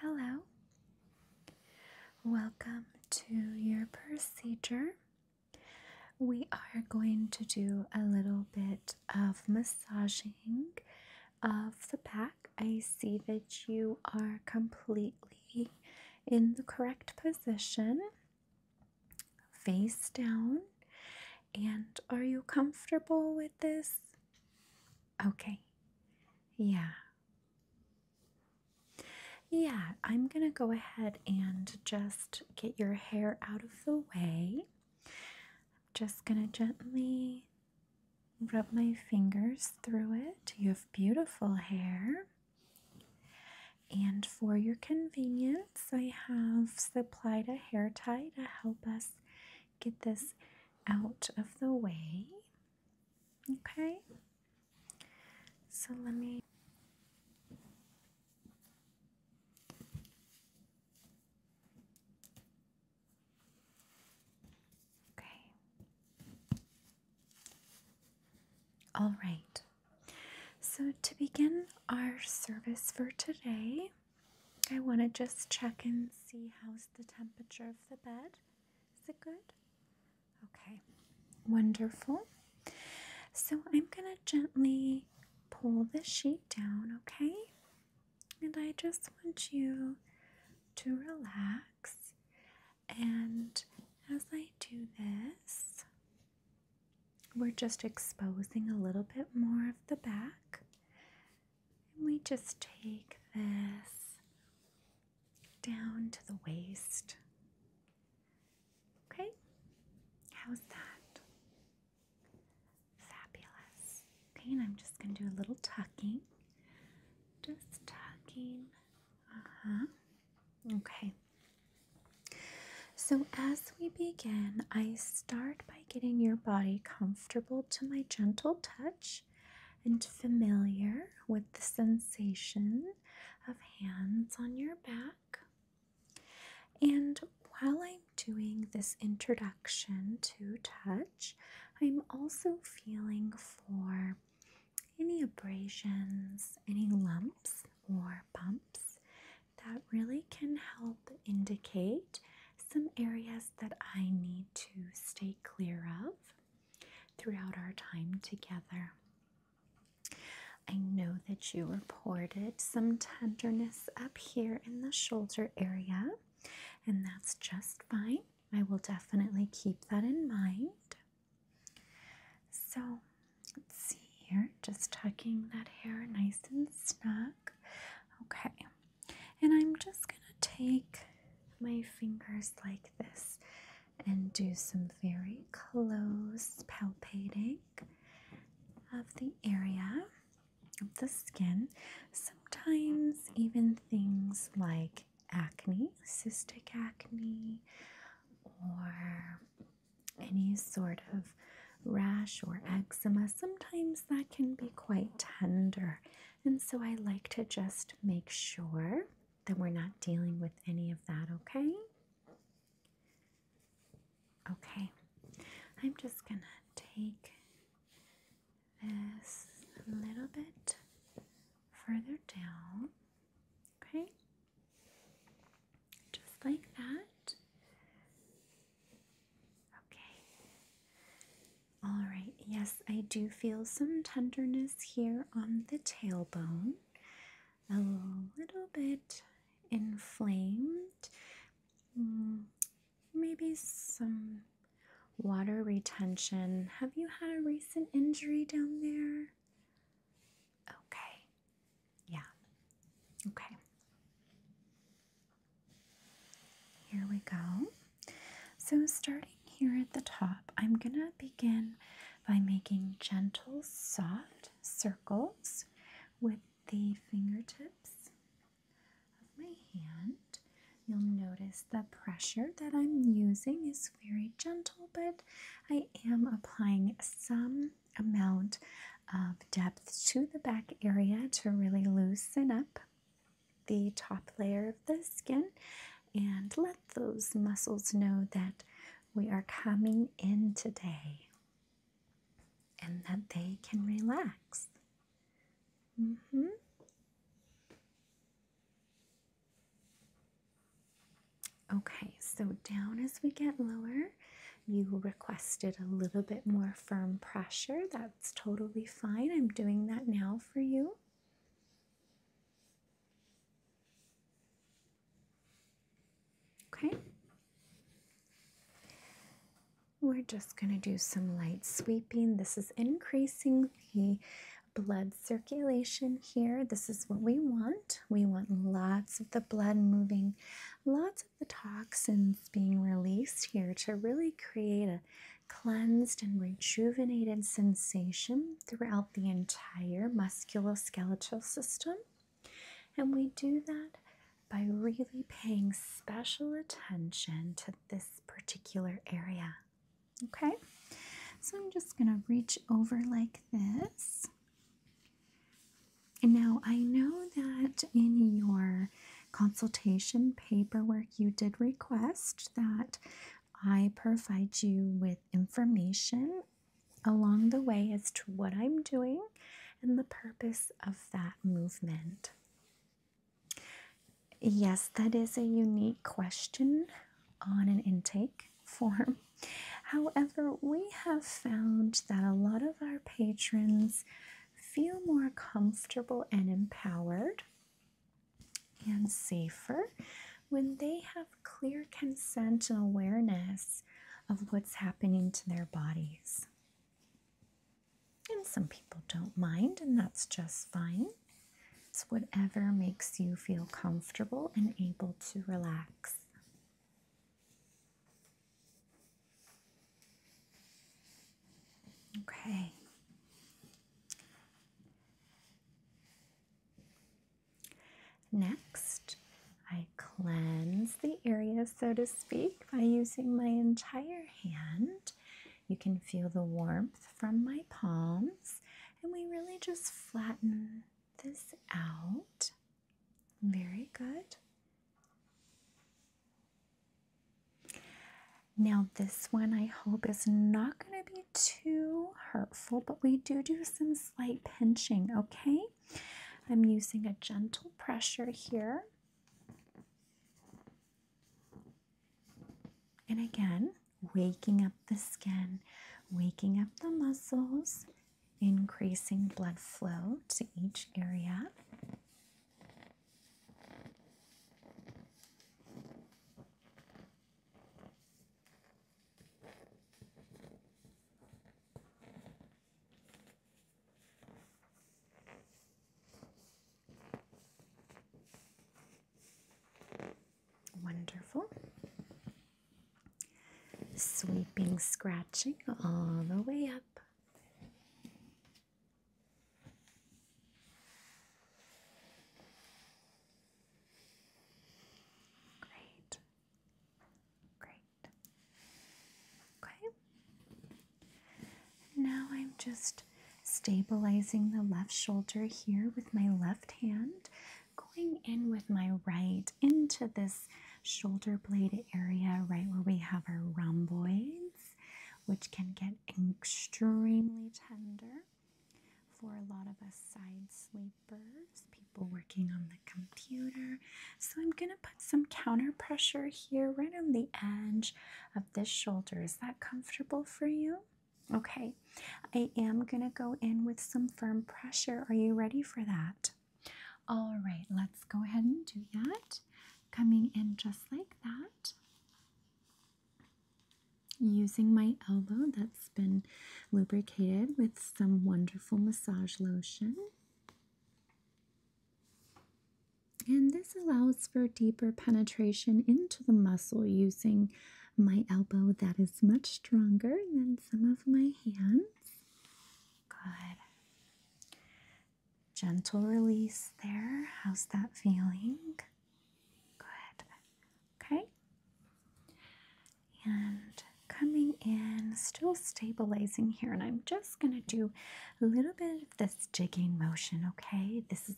Hello. Welcome to your procedure. We are going to do a little bit of massaging of the back. I see that you are completely in the correct position, face down. And are you comfortable with this? Okay. Yeah. Yeah, I'm going to go ahead and just get your hair out of the way. I'm just going to gently rub my fingers through it. You have beautiful hair. And for your convenience, I have supplied a hair tie to help us get this out of the way. Okay, so let me. Okay. All right. So, to begin our service for today, I want to just check and see how's the temperature of the bed. Is it good? Okay, wonderful. So I'm going to gently pull the sheet down, okay? And I just want you to relax. And as I do this, we're just exposing a little bit more of the back. And we just take this down to the waist. Okay? How's that? Fabulous. Okay, and I'm just going to do a little tucking. Just tucking. Uh huh. Okay. So, as we begin, I start getting your body comfortable to my gentle touch and familiar with the sensation of hands on your back. And while I'm doing this introduction to touch, I'm also feeling for any abrasions, any lumps or bumps that really can help indicate some areas that I need to stay clear of throughout our time together. I know that you reported some tenderness up here in the shoulder area, and that's just fine. I will definitely keep that in mind. So let's see here, just tucking that hair nice and snug. Okay, and I'm just going to take my fingers like this and do some very close palpating of the area of the skin. Sometimes, even things like acne, cystic acne, or any sort of rash or eczema, sometimes that can be quite tender. And so I like to just make sure that we're not dealing with any of that, okay? Okay, I'm just gonna take this a little bit further down, okay? Just like that. Okay. All right. Yes, I do feel some tenderness here on the tailbone. A little bit inflamed. Hmm, maybe some water retention. Have you had a recent injury down there? Okay. Yeah. Okay. Here we go. So, starting here at the top, I'm going to begin by making gentle, soft circles with the fingertips of my hand. You'll notice the pressure that I'm using is very gentle, but I am applying some amount of depth to the back area to really loosen up the top layer of the skin and let those muscles know that we are coming in today and that they can relax. Mm-hmm. Okay, so down as we get lower, you requested a little bit more firm pressure. That's totally fine. I'm doing that now for you. Okay. We're just going to do some light sweeping. This is increasing the blood circulation here. This is what we want. We want lots of the blood moving, lots the toxins being released here to really create a cleansed and rejuvenated sensation throughout the entire musculoskeletal system. And we do that by really paying special attention to this particular area. Okay, so I'm just going to reach over like this. And now I know that in your consultation paperwork, you did request that I provide you with information along the way as to what I'm doing and the purpose of that movement. Yes, that is a unique question on an intake form. However, we have found that a lot of our patrons feel more comfortable and empowered and safer when they have clear consent and awareness of what's happening to their bodies. And some people don't mind, and that's just fine. It's whatever makes you feel comfortable and able to relax. Okay. Next, I cleanse the area, so to speak, by using my entire hand. You can feel the warmth from my palms, and we really just flatten this out. Very good. Now, this one I hope is not going to be too hurtful, but we do do some slight pinching, okay? I'm using a gentle pressure here. And again, waking up the skin, waking up the muscles, increasing blood flow to each area. Wonderful. Sweeping, scratching all the way up Great. Great. Okay. now I'm just stabilizing the left shoulder here with my left hand, going in with my right into this shoulder blade area, right where we have our rhomboids, which can get extremely tender for a lot of us side sleepers, people working on the computer. So I'm going to put some counter pressure here right on the edge of this shoulder. Is that comfortable for you? Okay, I am going to go in with some firm pressure. Are you ready for that? All right, let's go ahead and do that. Coming in just like that. Using my elbow that's been lubricated with some wonderful massage lotion. And this allows for deeper penetration into the muscle using my elbow that is much stronger than some of my hands. Good. Gentle release there. How's that feeling? Good. Okay. And coming in, still stabilizing here, and I'm just going to do a little bit of this jigging motion, okay? This is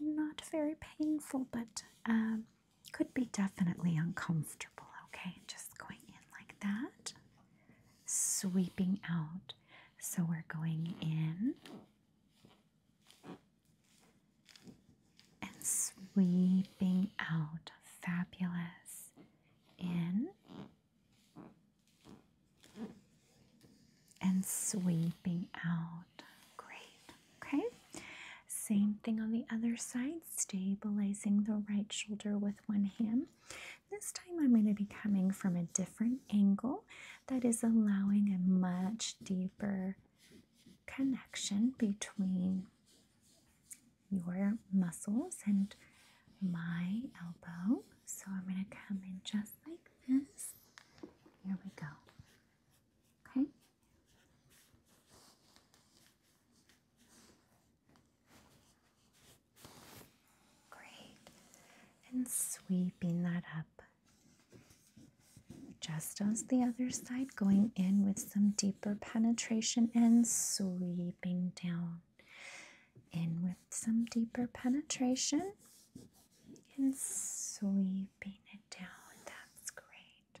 not very painful, but um, could be definitely uncomfortable, okay? Just going in like that sweeping out. So we're going in and sweeping out. Fabulous. In and sweeping out. Great. Okay. Same thing on the other side, stabilizing the right shoulder with one hand this time I'm going to be coming from a different angle that is allowing a much deeper connection between your muscles and my elbow. So I'm going to come in just like this. Here we go. Okay. Great. And sweeping that up. Just as the other side, going in with some deeper penetration and sweeping down. In with some deeper penetration and sweeping it down. That's great.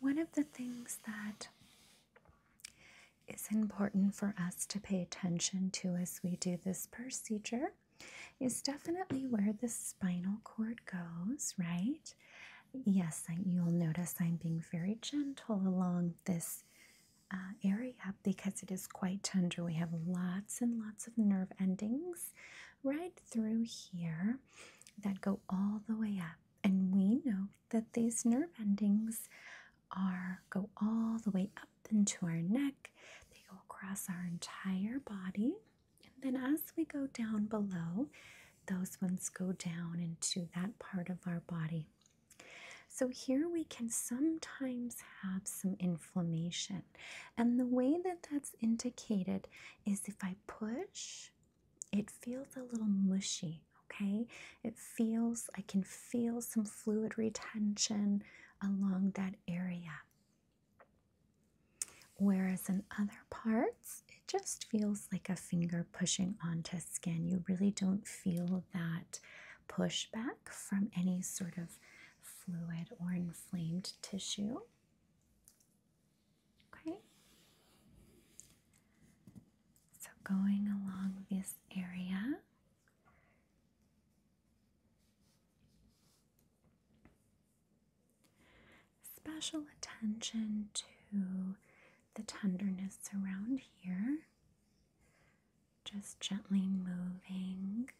One of the things that is important for us to pay attention to as we do this procedure is definitely where the spinal cord goes, right? Yes, and you'll notice I'm being very gentle along this uh, area because it is quite tender. We have lots and lots of nerve endings right through here that go all the way up. And we know that these nerve endings are go all the way up into our neck. They go across our entire body. And then as we go down below, those ones go down into that part of our body. So, here we can sometimes have some inflammation. And the way that that's indicated is if I push it feels a little mushy, okay? It feels, I can feel some fluid retention along that area. Whereas in other parts, it just feels like a finger pushing onto skin. You really don't feel that pushback from any sort of fluid or inflamed tissue. Okay. So going along this area. Special attention to the tenderness around here. Just gently moving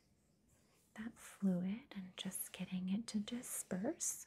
that fluid and just getting it to disperse.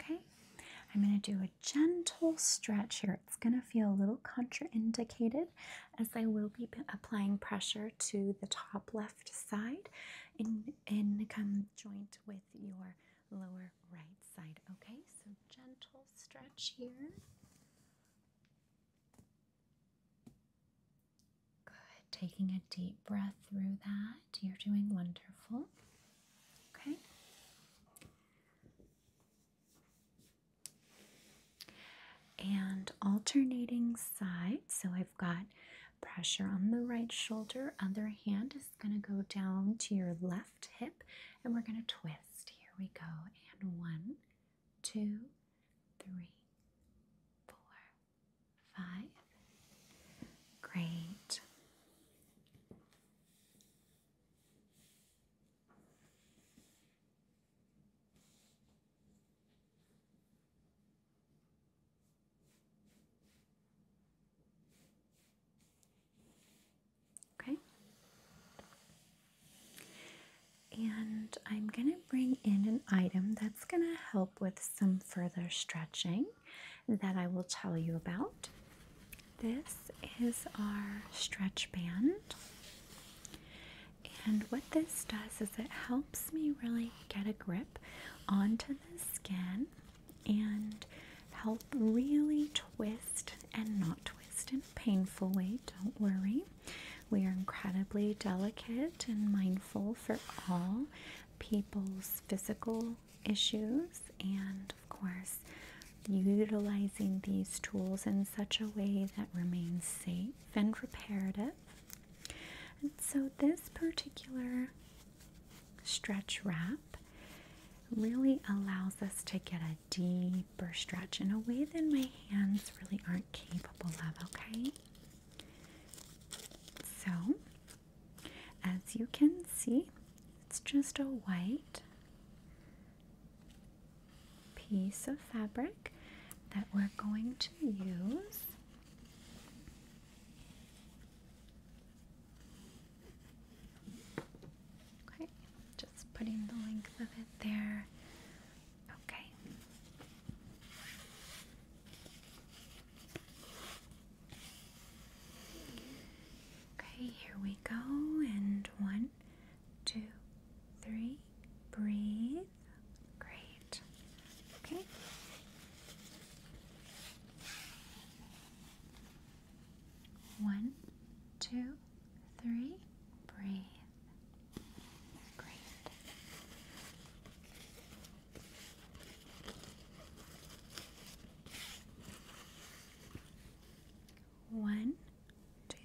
Okay, I'm going to do a gentle stretch here. It's going to feel a little contraindicated as I will be applying pressure to the top left side and in conjoint with your lower right side. Okay, so gentle stretch here. Good. Taking a deep breath through that. You're doing wonderful. Okay. And alternating sides. So I've got pressure on the right shoulder. Other hand is going to go down to your left hip. And we're going to twist. Here we go. And one, two, three, four, Five. Great. Okay. And I'm going to bring in an item that that's going to help with some further stretching that I will tell you about. This is our stretch band. And what this does is it helps me really get a grip onto the skin and help really twist and not twist in a painful way. Don't worry. We are incredibly delicate and mindful for all people's physical issues and, of course, utilizing these tools in such a way that remains safe and reparative. And so, this particular stretch wrap really allows us to get a deeper stretch in a way that my hands really aren't capable of, okay? So, as you can see, it's just a white piece of fabric that we're going to use. Okay, just putting the length of it there. Okay. Okay, here we go. And one, two, three. Breathe. Great. Okay. One, two, three. Breathe. Great. One,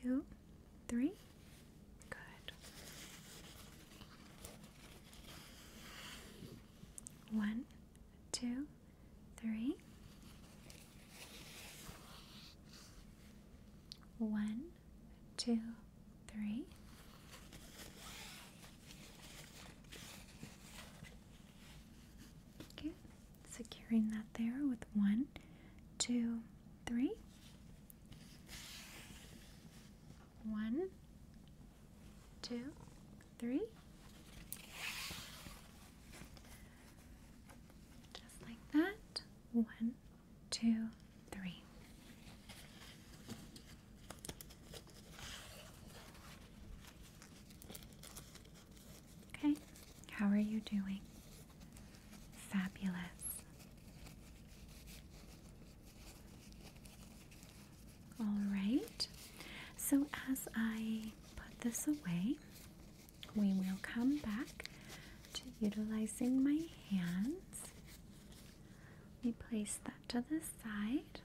two, three. Good. One, two, three. One, two three, okay, securing that there with one, two, three, one, two, three, just like that, one, two, three. Okay, how are you doing? Fabulous. All right, so as I put this away, we will come back to utilizing my hands we place that to the side.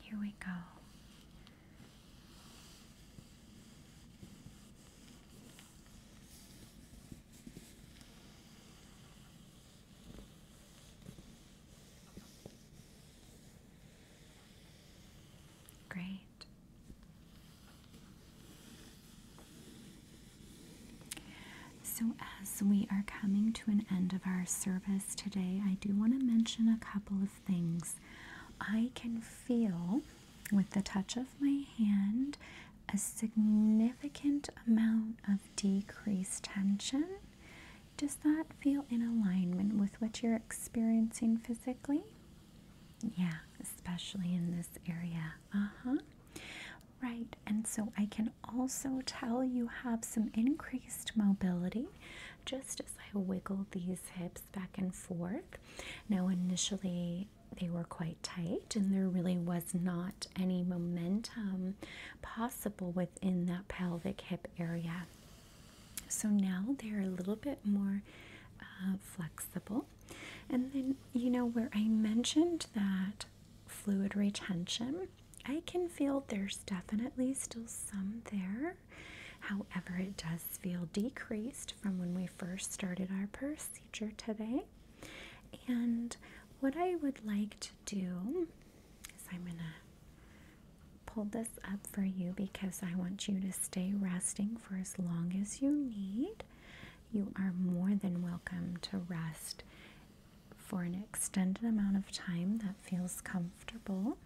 Here we go. Great. So, as we are coming to an end of our service today, I do want to mention a couple of things. I can feel with the touch of my hand a significant amount of decreased tension. Does that feel in alignment with what you're experiencing physically? Yeah, especially in this area. Uh huh. Right, and so I can also tell you have some increased mobility just as I wiggle these hips back and forth. Now, initially, they were quite tight, and there really was not any momentum possible within that pelvic hip area. So now they're a little bit more uh, flexible. And then, you know, where I mentioned that fluid retention, I can feel there's definitely still some there. However, it does feel decreased from when we first started our procedure today. And what I would like to do is I'm going to pull this up for you because I want you to stay resting for as long as you need. You are more than welcome to rest for an extended amount of time that feels comfortable.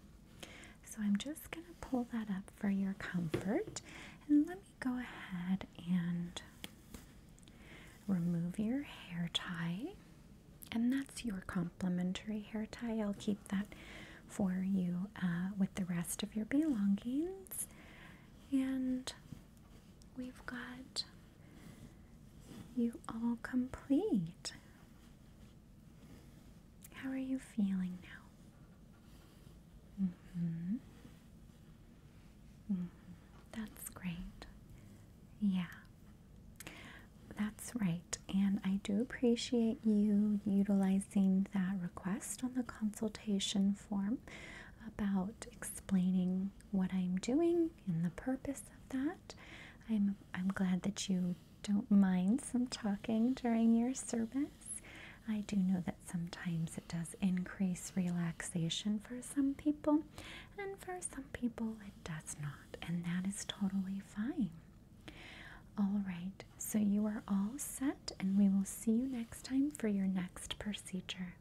So I'm just going to pull that up for your comfort. And let me go ahead and remove your hair tie. And that's your complimentary hair tie. I'll keep that for you uh, with the rest of your belongings. And we've got you all complete. How are you feeling now? Mm-hmm. Mm-hmm. That's great. Yeah. That's right. And I do appreciate you utilizing that request on the consultation form about explaining what I'm doing and the purpose of that. I'm I'm glad that you don't mind some talking during your service. I do know that sometimes it does increase relaxation for some people, and for some people it does not, and that is totally fine. All right, so you are all set, and we will see you next time for your next procedure.